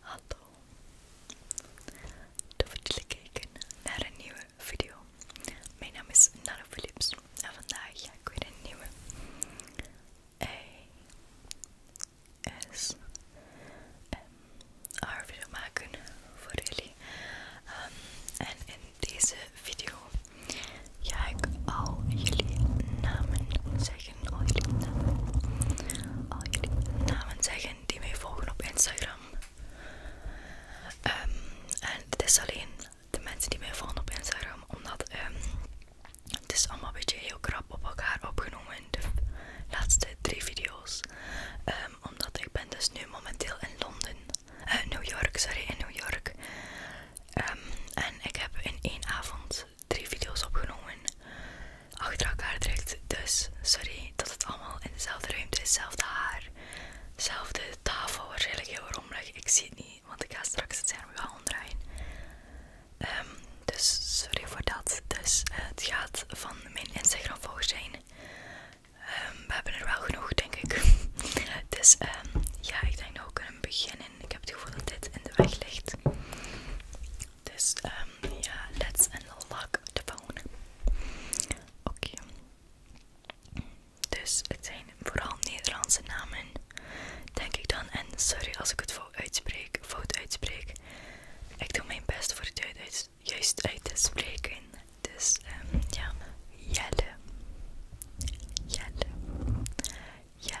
Hallo. Tof jullie kijken naar een nieuwe video. Mijn naam is Nana Philips en vandaag ga ik weer een nieuwe ASMR video maken voor jullie. Ehm, en in deze video ga ik al jullie namen zeggen. Al oh, jullie namen. Al oh, jullie namen zeggen die mij volgen op Instagram. Ehm, en het is alleen de mensen die mij volgen op Instagram. Omdat ehm, het is allemaal een beetje heel krap op elkaar opgenomen. In de laatste drie video's. Ehm, omdat ik ben dus nu momenteel in Londen. in eh, New York, sorry, in New York. en ik heb in één avond drie video's opgenomen. Achter elkaar direct. Dus sorry dat het allemaal in dezelfde ruimte is. Zelfde haar. Zelfde tafel. Waarschijnlijk heel rommelig. Ik zie het niet. Want ik ga straks het scherm gaan omdraaien. Ehm, dus sorry voor dat. Dus eh, het gaat van mijn Instagram volgers zijn. Ehm, we hebben er wel genoeg, denk ik. dus ehm, ja, ik denk dat we kunnen beginnen. Ik heb het gevoel dat dit in de weg ligt. Dus um, ja, let's unlock the phone. Oké. Dus het zijn vooral Nederlandse namen, denk ik dan. En sorry als ik het fout uitspreek. Fout uitspreek. Ik doe mijn best voor het juist uit te spreken. Dus um, ja, Jelle. Jelle. ja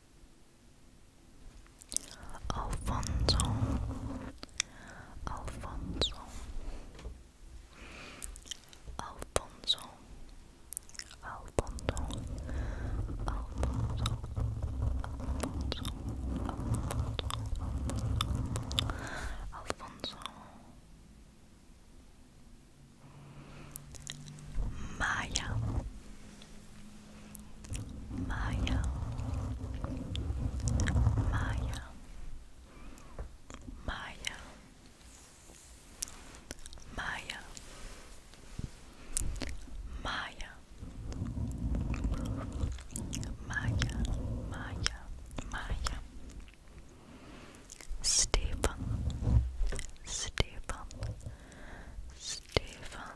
Alfonso Alfonso Alfonso Alfonso Alfonso Alfonso Alfonso Maya Maya, Maya, Maya, Maya, Maya, Maya, Maya, Maya, Stephen, Stephen, Stephen.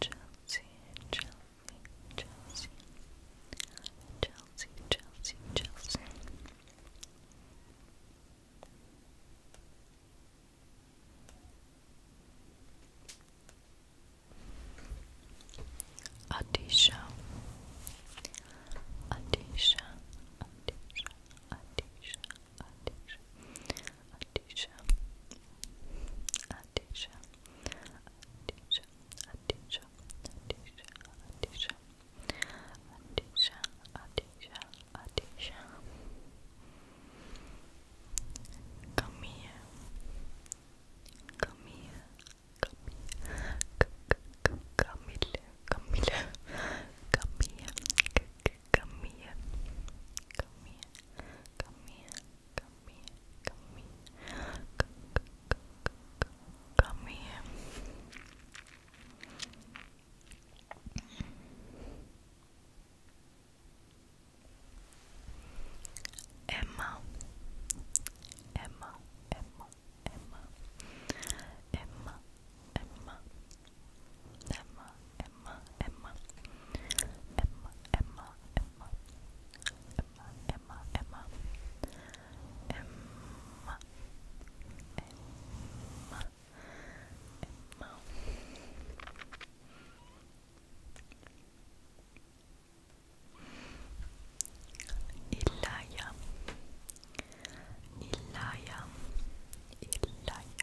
Chelsea, Chelsea, Chelsea, Chelsea, Chelsea, Chelsea. Adisha, Adisha, Adisha, Adisha, Adisha, Adisha, Adisha, Adisha, Adisha, Adisha, Adisha, Adisha, Adisha, Adisha. Come here, come here, come here, come here, come here, come here, come here, come here, come here, Come here, come here, come here. Come, come, come, come, come, come here. Emma, Emma, Emma, Emma, Emma, Emma, Emma, Emma, Emma, Emma, Emma, Emma, Emma, Emma, Emma, Emma, Emma, Emma. Ilaya Ilaya Ilaya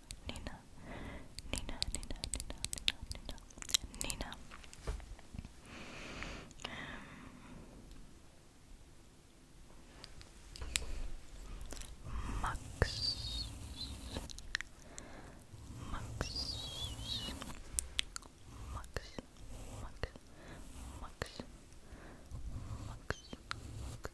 Nina, Nina, Nina, Nina, Nina, Nina, Nina. Um, Max, Max, Max, Max, Max, Max, Max,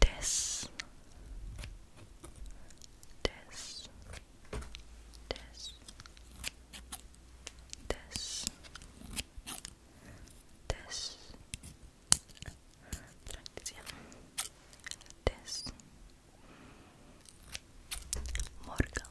Des. Des. Des. Des. Des. Praktizieren. Des. Morgen.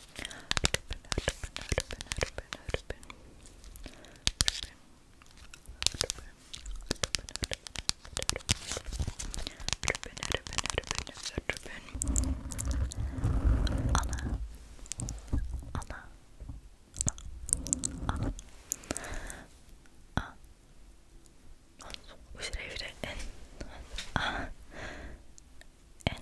Anna, Anna, Anna, Anna, Anna, Anna, Anna, Anna, Anna,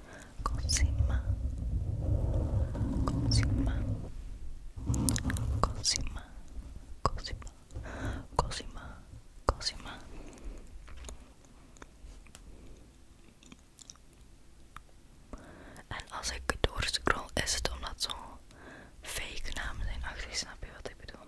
Cosima, Cosima, Cosima, Cosima, Cosima, Cosima. En als ik door scroll, is het omdat zo'n fake namen zijn actie snap je wat ik bedoel?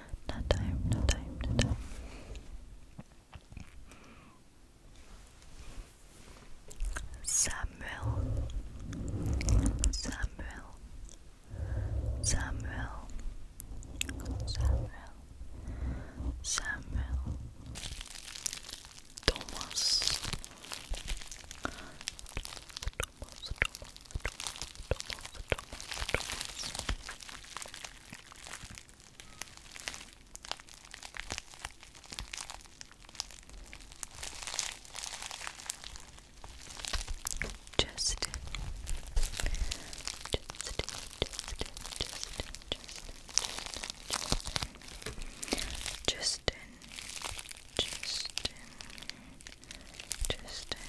No time, no time, no time. Samuel, Samuel, Samuel, Samuel, Samuel, Thomas, Thomas, Thomas, just, just, just, just, just, just, Justin, Justin,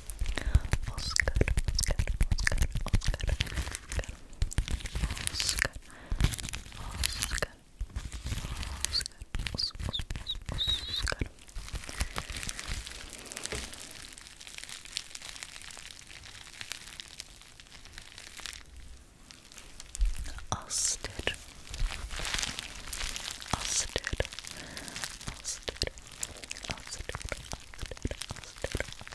Oscar, Oscar, Oscar, Oscar, Oscar, Oscar, Oscar, Oscar, Austin, Austin, Austin, Austin, Austin, Austin,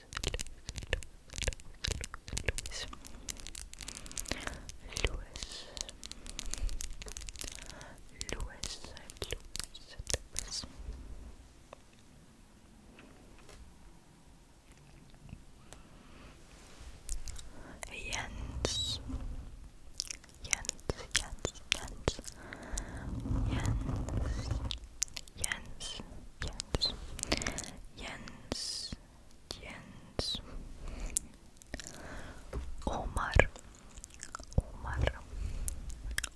Louis, Louis, Louis, Louis, Jens, Jens, Jens, Jens, Jens, Jens, Jens, Jens, Jens, Omar, Omar, Omar,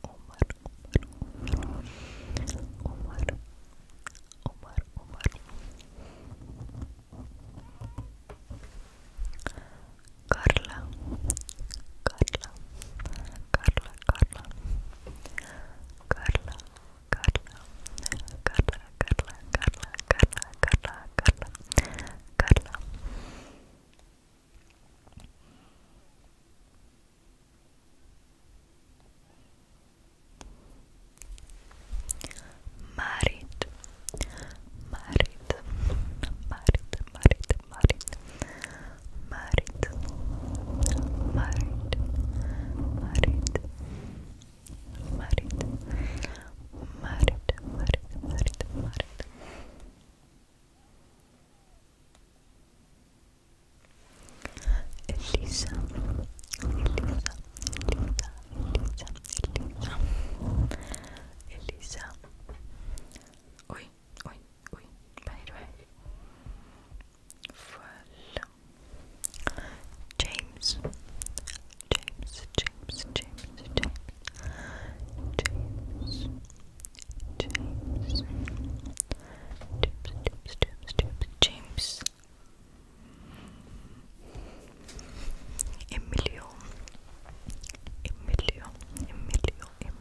Omar, Omar, Omar, Carla, Carla, Carla, Carla, Carla. Carla, Carla, Carla, Carla, Carla, Carla, Carla, Carla. Marit, Marit, Marit, Marit, Marit, married, married, married, married, married, married, married, married. Elisa, Elisa, Elisa, Elisa, Elisa. Oi, oi, oi. Peraí, vai. Full James James James James James James James James James James James Emilio Emilio Emilio Emilio Emilio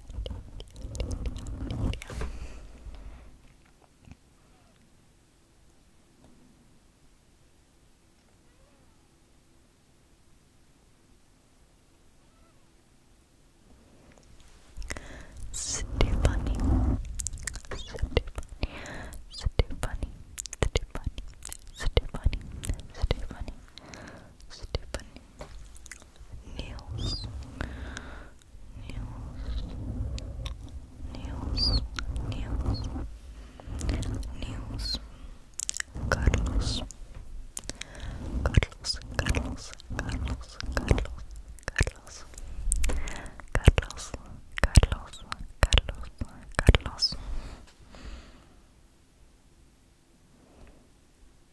Stefani, Stefani, Stefani, Stefani, Stefani, Stefani, Stefani, Nails. Nails. Nails. Nails. Nails. Carlos. Carlos. Carlos. Carlos. Carlos. Carlos. Carlos. Carlos. Carlos. Carlos.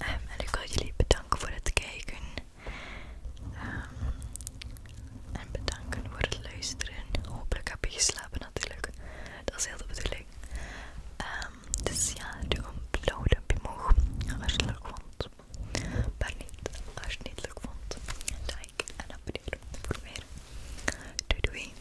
Ehm, en ik wil jullie bedanken voor het kijken. Ehm, en bedanken voor het luisteren. Hopelijk heb je geslapen natuurlijk. Dat is heel de bedoeling. dit ehm, dus ja, doe een blauw je omhoog. Als je het leuk vond. Maar niet als je het niet leuk vond. Like en abonneer voor meer. Doei doei.